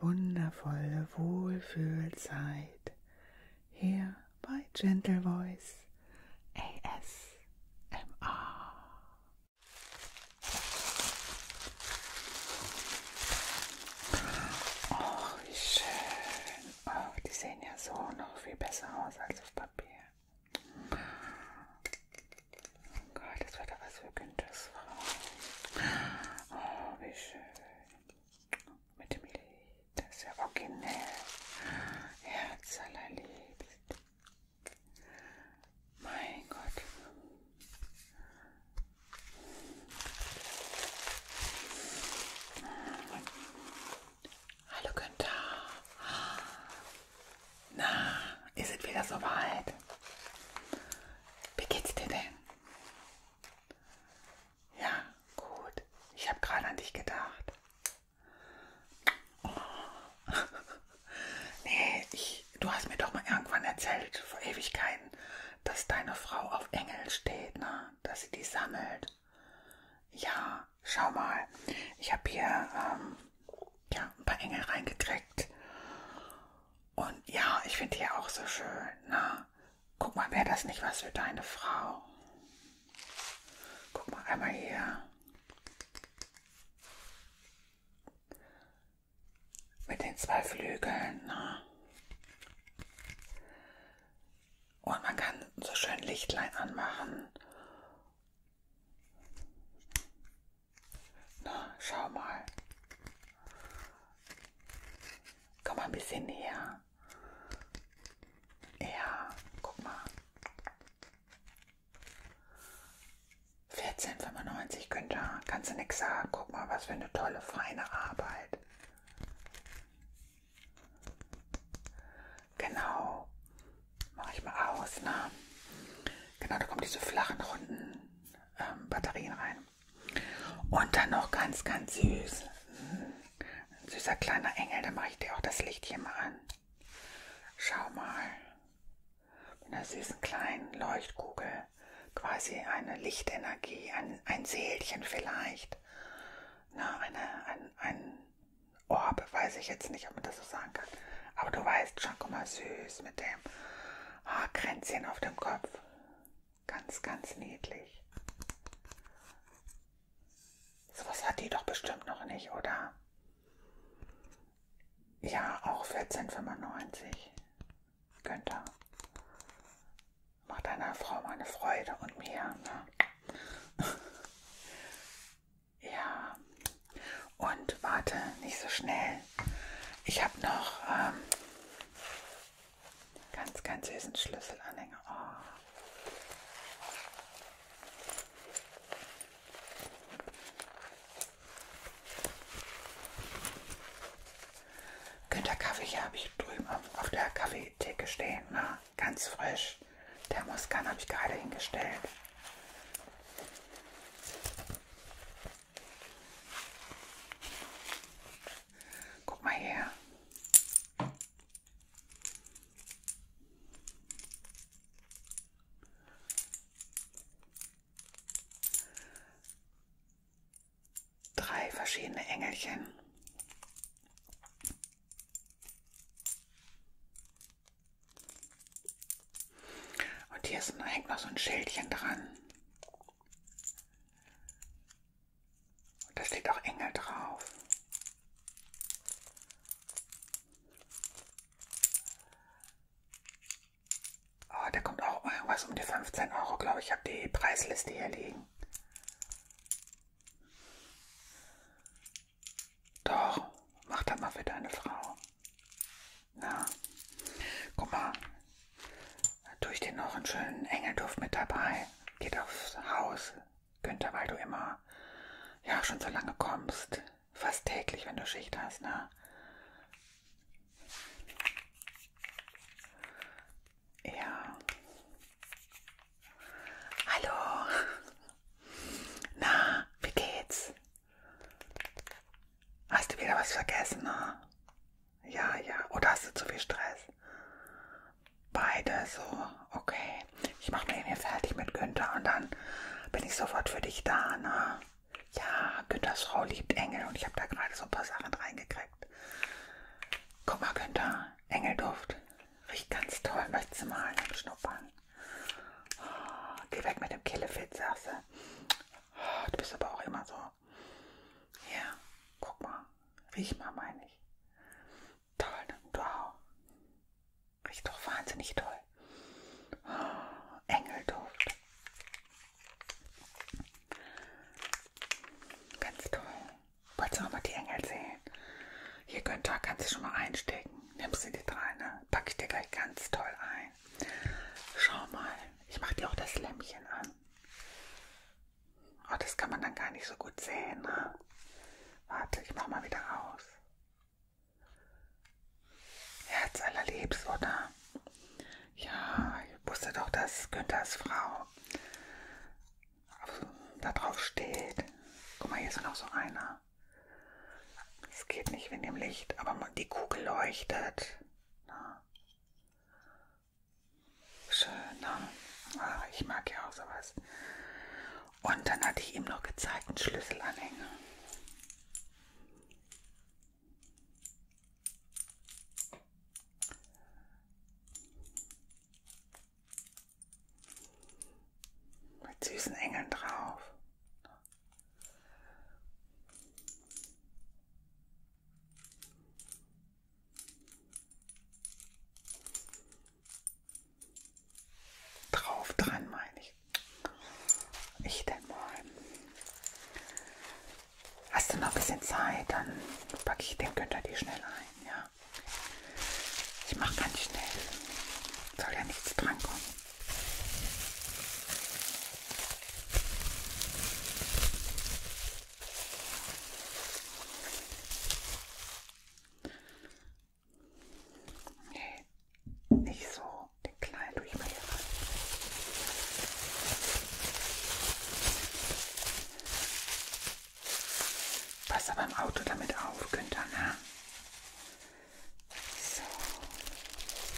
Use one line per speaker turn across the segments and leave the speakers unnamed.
wundervolle Wohlfühlzeit hier bei Gentle Voice ASMR. Oh, wie schön. Oh, die sehen ja so noch viel besser aus als auf Papier. Oh Gott, das wird aber so Günthers Frau. Oh, wie schön mit dem Lied, das ist ja originell. Herz allerliebst. Mein Gott. Hallo Günther. Na, ist es wieder soweit? Wie geht's dir denn? Ja, gut. Ich habe gerade an dich gedacht. Oh. nee, ich, du hast mir doch mal irgendwann erzählt, vor Ewigkeiten, dass deine Frau auf Engel steht, ne? dass sie die sammelt. Ja, schau mal. Ich habe hier ähm, ja, ein paar Engel reingekriegt. Und ja, ich finde die auch so schön. Ne? Guck mal, wäre das nicht was für deine Frau? Guck mal einmal hier. Mit den zwei Flügeln. Ne? Und man kann so schön Lichtlein anmachen. Na, ne, schau mal. Komm mal ein bisschen näher. Ja, guck mal. 14,95 Günther, kannst du nichts sagen. Guck mal, was für eine tolle, feine Arbeit. Genau. Mache ich mal aus, ne? Genau, da kommen diese flachen, runden ähm, Batterien rein. Und dann noch ganz, ganz süß. Ein süßer kleiner Engel, dann mache ich dir auch das Licht hier mal an. Schau mal. Mit einer süßen kleinen Leuchtkugel. Quasi eine Lichtenergie, ein, ein Seelchen vielleicht. Na, eine, ein, ein Orb, weiß ich jetzt nicht, ob man das so sagen kann. Aber du weißt schon, guck mal, süß mit dem Haarkränzchen auf dem Kopf. Ganz, ganz niedlich. Sowas hat die doch bestimmt noch nicht, oder? Ja, auch 14,95. Günther. Macht deiner Frau mal eine Freude und mir. Ne? ja. Und warte, nicht so schnell. Ich habe noch ähm, Ganz, ganz süßen Schlüsselanhänger. Oh. Günter Kaffee hier habe ich drüben auf der Kaffeetheke stehen. Ne? Ganz frisch. Thermoskan habe ich gerade hingestellt. Guck mal her. Drei verschiedene Engelchen. Und hier ist, hängt noch so ein Schildchen dran. Und da steht auch Engel drauf. Oh, der kommt auch irgendwas um die 15 Euro, glaube ich. Ich habe die Preisliste hier liegen. Doch, mach da mal wieder eine Frau. Na, guck mal, durch den noch einen schönen Engelduft mit dabei. Geht aufs Haus, Günther, weil du immer ja schon so lange kommst. Fast täglich, wenn du Schicht hast, ne? Ja. Hallo. Na, wie geht's? Hast du wieder was vergessen, ne? Ja, ja. Oder oh, hast du zu viel Stress? Beide so. Okay. Ich mache mir hier fertig mit Günther und dann bin ich sofort für dich da, ne? Ja, Günthers Frau liebt Engel und ich habe da gerade so ein paar Sachen reingekriegt. Guck mal, Günther. Engelduft. Riecht ganz toll. Möchtest du mal einen schnuppern? Oh, geh weg mit dem Killefit, sagst du. Oh, du bist aber auch immer so hier, guck mal. Riech mal, meine ich. Toll, ne? Wow. Riecht doch wahnsinnig toll. Oh, Engelduft. Ganz toll. Wolltest du auch mal die Engel sehen? Hier, Günther, kannst du schon mal einstecken. Nimmst du die drei, ne? Pack ich dir gleich ganz toll ein. Schau mal. Ich mache dir auch das Lämmchen an. Oh, das kann man dann gar nicht so gut sehen. Ne? Warte, ich mach mal wieder aus. Herz allerliebst, oder? Ja, ich wusste doch, dass Günthers Frau da drauf steht. Guck mal, hier ist noch so einer. Es geht nicht wegen dem Licht, aber die Kugel leuchtet. Na. Ne? Schön, ne? Ach, ich mag ja auch sowas. Und dann hatte ich ihm noch gezeigt, einen Schlüsselanhänger. Mit süßen Engeln drauf. Drauf dran meine ich. Ich denn mal. Hast du noch ein bisschen Zeit, dann packe ich den Günther die schnell ein, ja. Ich mache ganz schnell. Soll ja nichts dran kommen. Nee, nicht so. Den kleinen tue ich mal hier rein. Pass aber im Auto damit auf, Günther, ne? So.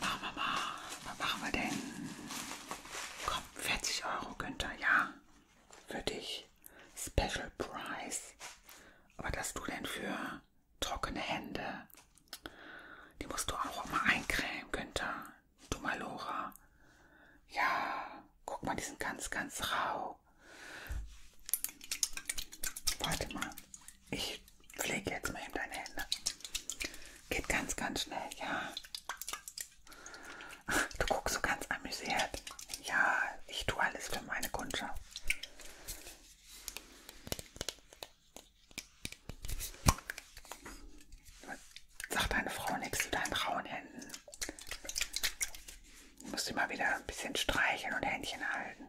Mama, Mama, was machen wir denn? Komm, 40 Euro, Günther, ja. Für dich. Special Price. Aber dass du denn für trockene Hände. Die musst du auch immer eincremen, Günther. Du mal, Lora. Ja, guck mal, die sind ganz, ganz rau. Warte mal. Ich pflege jetzt mal eben deine Hände. Geht ganz, ganz schnell, ja. Du guckst so ganz amüsiert. Ja, ich tue alles für meine Kundschaft. Sag deine Frau nichts zu deinen rauen Händen. Du musst immer wieder ein bisschen streicheln und Händchen halten.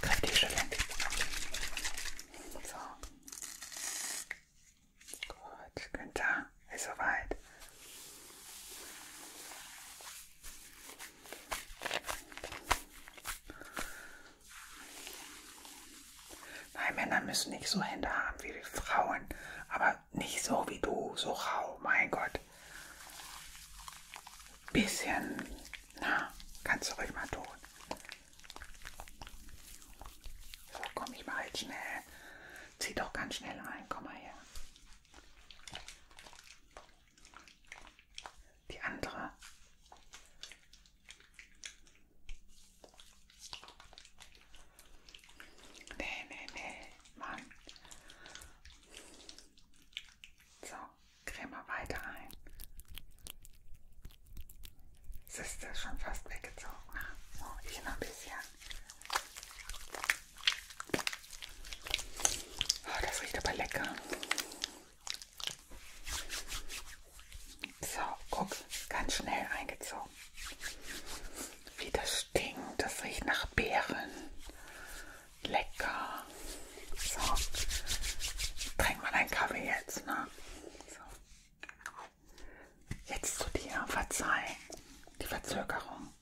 Kräftig schütteln. So. Gut, Günther ist soweit. Nein, Männer müssen nicht so Hände haben wie Frauen, aber nicht so wie du, so rau, mein Gott bisschen. Na, kannst du ruhig mal tun. So, komm, ich mal jetzt schnell. Zieh doch ganz schnell ein. Komm mal her. Die andere. Nee, nee, nee, Mann. So creme weiter ein. Es ist das schon fast weggezogen. Ne? Oh, so, ich noch ein bisschen. Oh, das riecht aber lecker. So, guck, ganz schnell eingezogen. Wie das stinkt, das riecht nach Beeren. Lecker. So. Trink mal deinen Kaffee jetzt, ne? So. Jetzt zu dir. Verzeih. Die Verzögerung.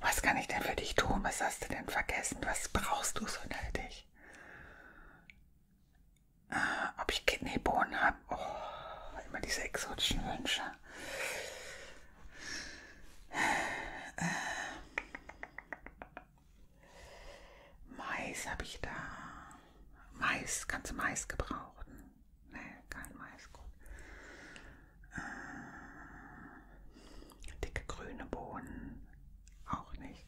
Was kann ich denn für dich tun? Was hast du denn vergessen? Was brauchst du so nötig? Äh, ob ich Kidneybohnen habe? Oh, immer diese exotischen Wünsche. Äh, äh. Mais habe ich da. Mais, kannst du Mais gebrauchen? Ne, kein Mais, gut. Äh, dicke grüne Bohnen, auch nicht.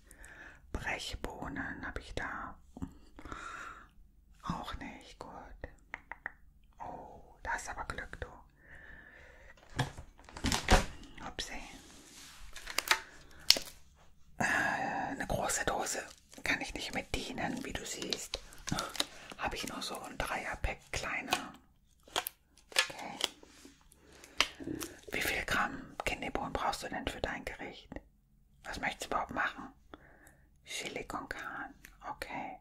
Brechbohnen habe ich da. Auch nicht, gut. Oh, da ist aber Glück, du. Upsi. Äh, eine große Dose kann ich nicht mit dienen, wie du siehst. Habe ich nur so ein Dreierpack kleiner. Okay. Wie viel Gramm Kinderbohnen brauchst du denn für dein Gericht? Was möchtest du überhaupt machen? Chili con carne. Okay.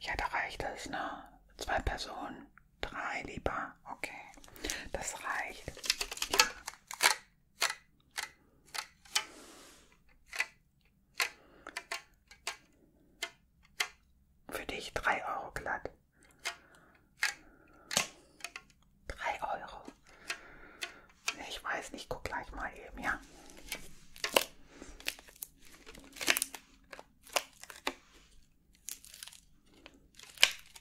Ja, da reicht es, ne? Zwei Personen. Drei lieber. Okay. Das reicht. Ja. Für dich drei Euro glatt. Drei Euro. Ich weiß nicht, guck gleich mal eben, ja.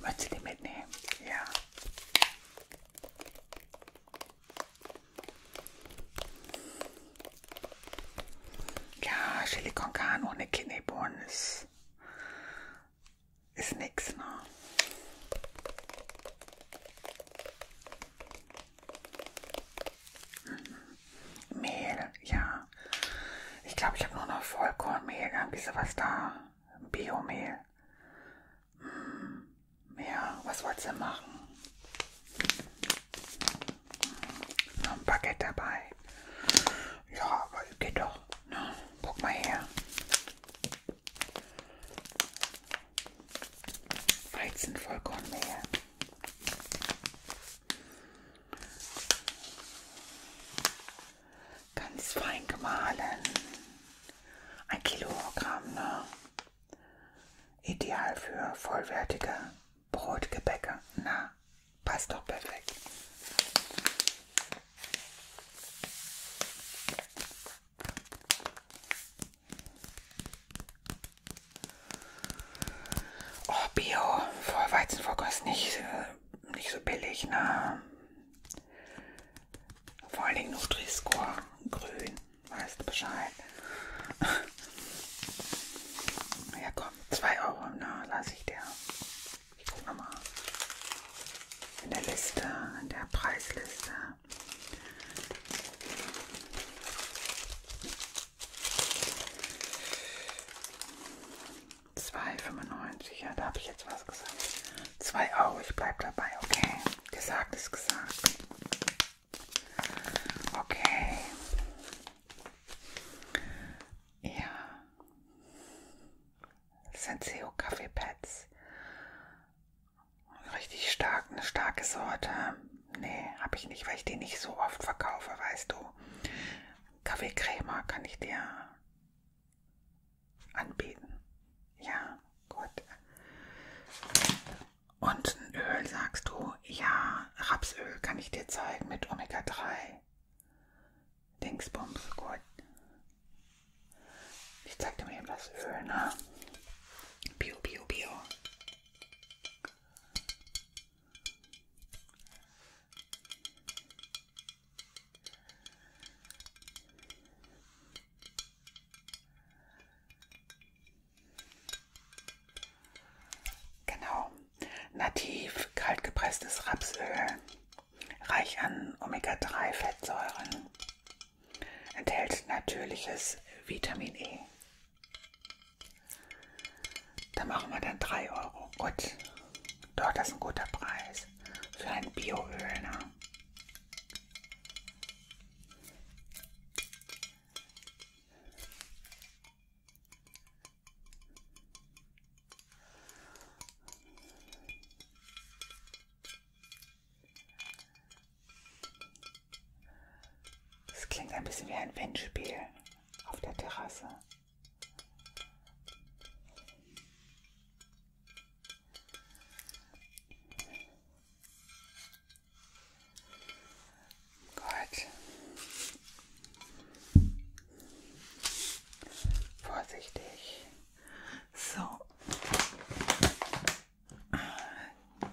Möchtest du die mitnehmen? Ja. Ja, Chili con carne ohne Kidneybohnen ist, ist nix, ne? Mhm. Mehl, ja da. Ich glaube, ich habe nur noch Vollkornmehl, irgendwie sowas da. Biomehl. Hm, ja, was wollt ihr machen? Noch ein Baguette dabei. Ja, aber geht doch. Na, ne? guck mal her. Weizenvollkornmehl. Ganz fein gemahlen. Ein Kilogramm, ne? Ideal für vollwertige Brotgebäcke. Na, passt doch perfekt. Oh, Bio, Vollweizenvollkost nicht äh, nicht so billig, ne? Vor allen Dingen Nutri-Score, grün, weißt du Bescheid. ja komm, 2 Euro, ne, lasse ich dir. Ich guck nochmal. In der Liste, in der Preisliste. 2,95. Ja, da habe ich jetzt was gesagt. 2 Euro, ich bleibe dabei. Okay, gesagt ist gesagt. Okay. Ja. Senseo Kaffee Pads. Richtig stark, eine starke Sorte. Nee, habe ich nicht, weil ich die nicht so oft verkaufe, weißt du. Kaffeecrema kann ich dir anbeten. Ja, gut. Und ein Öl sagst du? Ja, Rapsöl kann ich dir zeigen mit Omega-3. Dingsbums, gut. Ich zeig dir mal eben das Öl, ne? Bio, bio, bio. Genau. Nativ kaltgepresstes Rapsöl, reich an Omega-3-Fettsäuren, enthält natürliches Vitamin E. Da machen wir dann 3 Euro. Gut. Doch, das ist ein guter Preis ist für ein Bioöl. Ne? Das klingt ein bisschen wie ein Windspiel auf der Terrasse. Gut. Vorsichtig. So.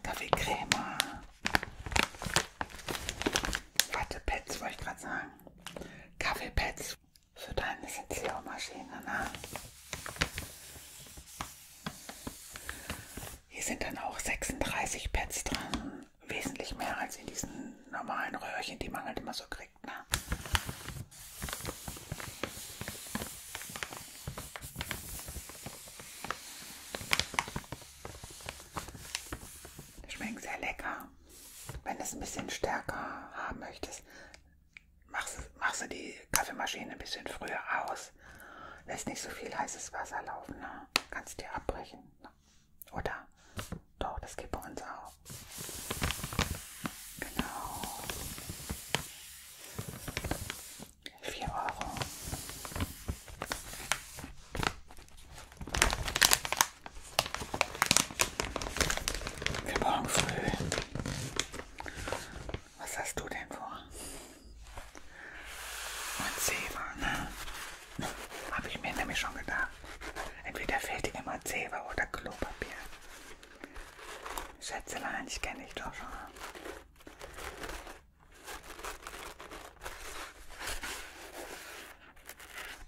Kaffeecreme. Wattepads wollte ich gerade sagen. Kaffeepads für deine Sitzlaumaschine. Ne? Hier sind dann auch 36 Pads dran, wesentlich mehr als in diesen normalen Röhrchen, die man halt immer so kriegt. Ne? Schmeckt sehr lecker wenn du es ein bisschen stärker haben möchtest, machst, machst du die Kaffeemaschine ein bisschen früher aus. Lässt nicht so viel heißes Wasser laufen. Ne? Kannst dir abbrechen. Ne? Oder? Doch, das geht bei uns auch. Genau. 4 Euro. Für morgen früh. Was hast du denn vor? Und Zewa, ne? Habe ich mir nämlich schon gedacht. Entweder fehlt dir immer Zewa oder Klopapier. Schätzelein, ich kenne dich doch schon.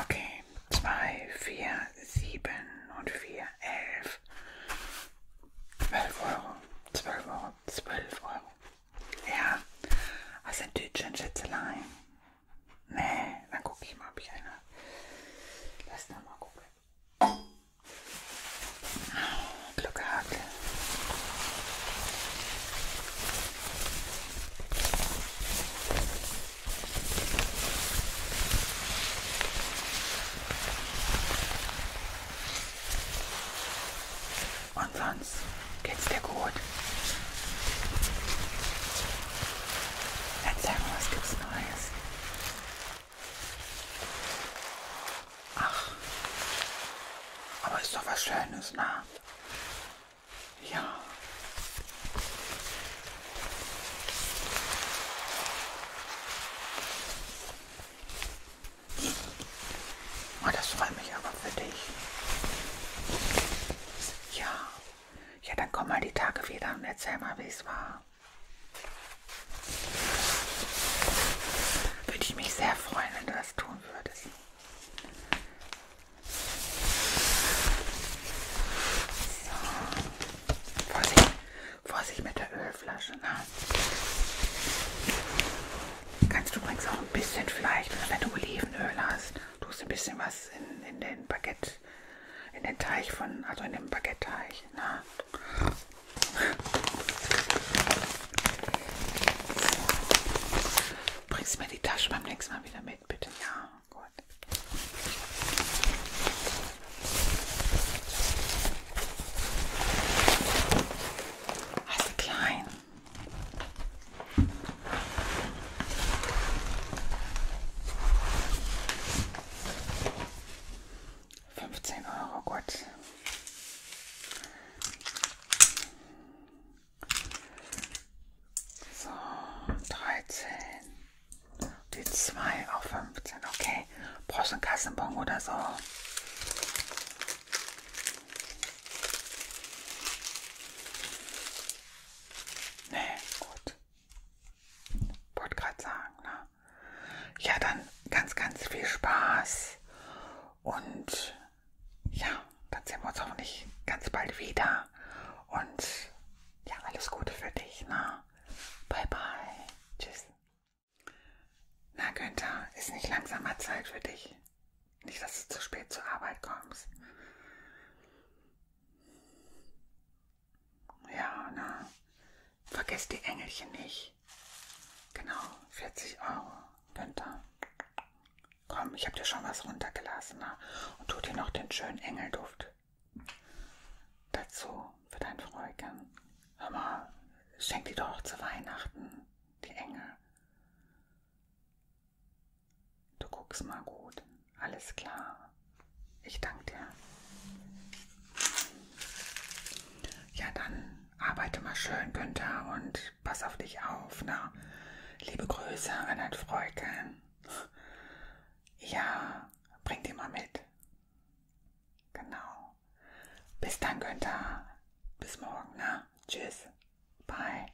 Okay, zwei, vier, sieben und vier, elf, zwölf Euro, zwölf Euro, zwölf Euro. Ja, also ein Tütchen Schätzelein. Nee, dann gucke ich mal, ob ich eine. Lass da mal gucken. Glück gehabt. Und sonst geht's dir gut. Erzähl mal, was gibt's Neues? Ach, aber ist doch was Schönes, ne? Ja. Oh, das freut mich aber für dich. Ja. Ja, dann komm mal die Tage wieder und erzähl mal, wie es war. Würde ich mich sehr freuen, wenn du das tun würdest. So. Vorsicht, Vorsicht mit der Ölflasche. Ne? Kannst du übrigens auch ein bisschen vielleicht, wenn du Olivenöl hast, tust ein bisschen was in, in den Baguette in den Teig von, also in den Baguette-Teig. Ne? Bringst mir die Tasche beim nächsten Mal wieder mit, bitte. Ja, gut. Also klein. 15 Euro, gut. So, 13. Die 2 auf 15, okay. Brauchst du einen Kassenbon oder so? Nee, gut. Wollte gerade sagen, ne? Ja, dann ganz, ganz viel Spaß. Und ja, dann sehen wir uns hoffentlich ganz bald wieder. Und ja, alles Gute für dich, ne? Bye, bye. Tschüss. Na, Günther, ist nicht langsamer Zeit für dich. Nicht, dass du zu spät zur Arbeit kommst. Ja, na. Ne? Vergesst die Engelchen nicht. Genau, 40 Euro. Günther. Komm, ich habe dir schon was runtergelassen. Na? Ne? Und tu dir noch den schönen Engelduft dazu für dein Fräulein. Hör mal, schenk die doch zu Weihnachten, die Engel. Du guckst mal gut. Alles klar. Ich danke dir. Ja, dann arbeite mal schön, Günther, und pass auf dich auf. Ne? Liebe Grüße, Reinhard Freuke. Ja, bring die mal mit. Genau. Bis dann, Günther. Bis morgen, ne? Tschüss. Bye.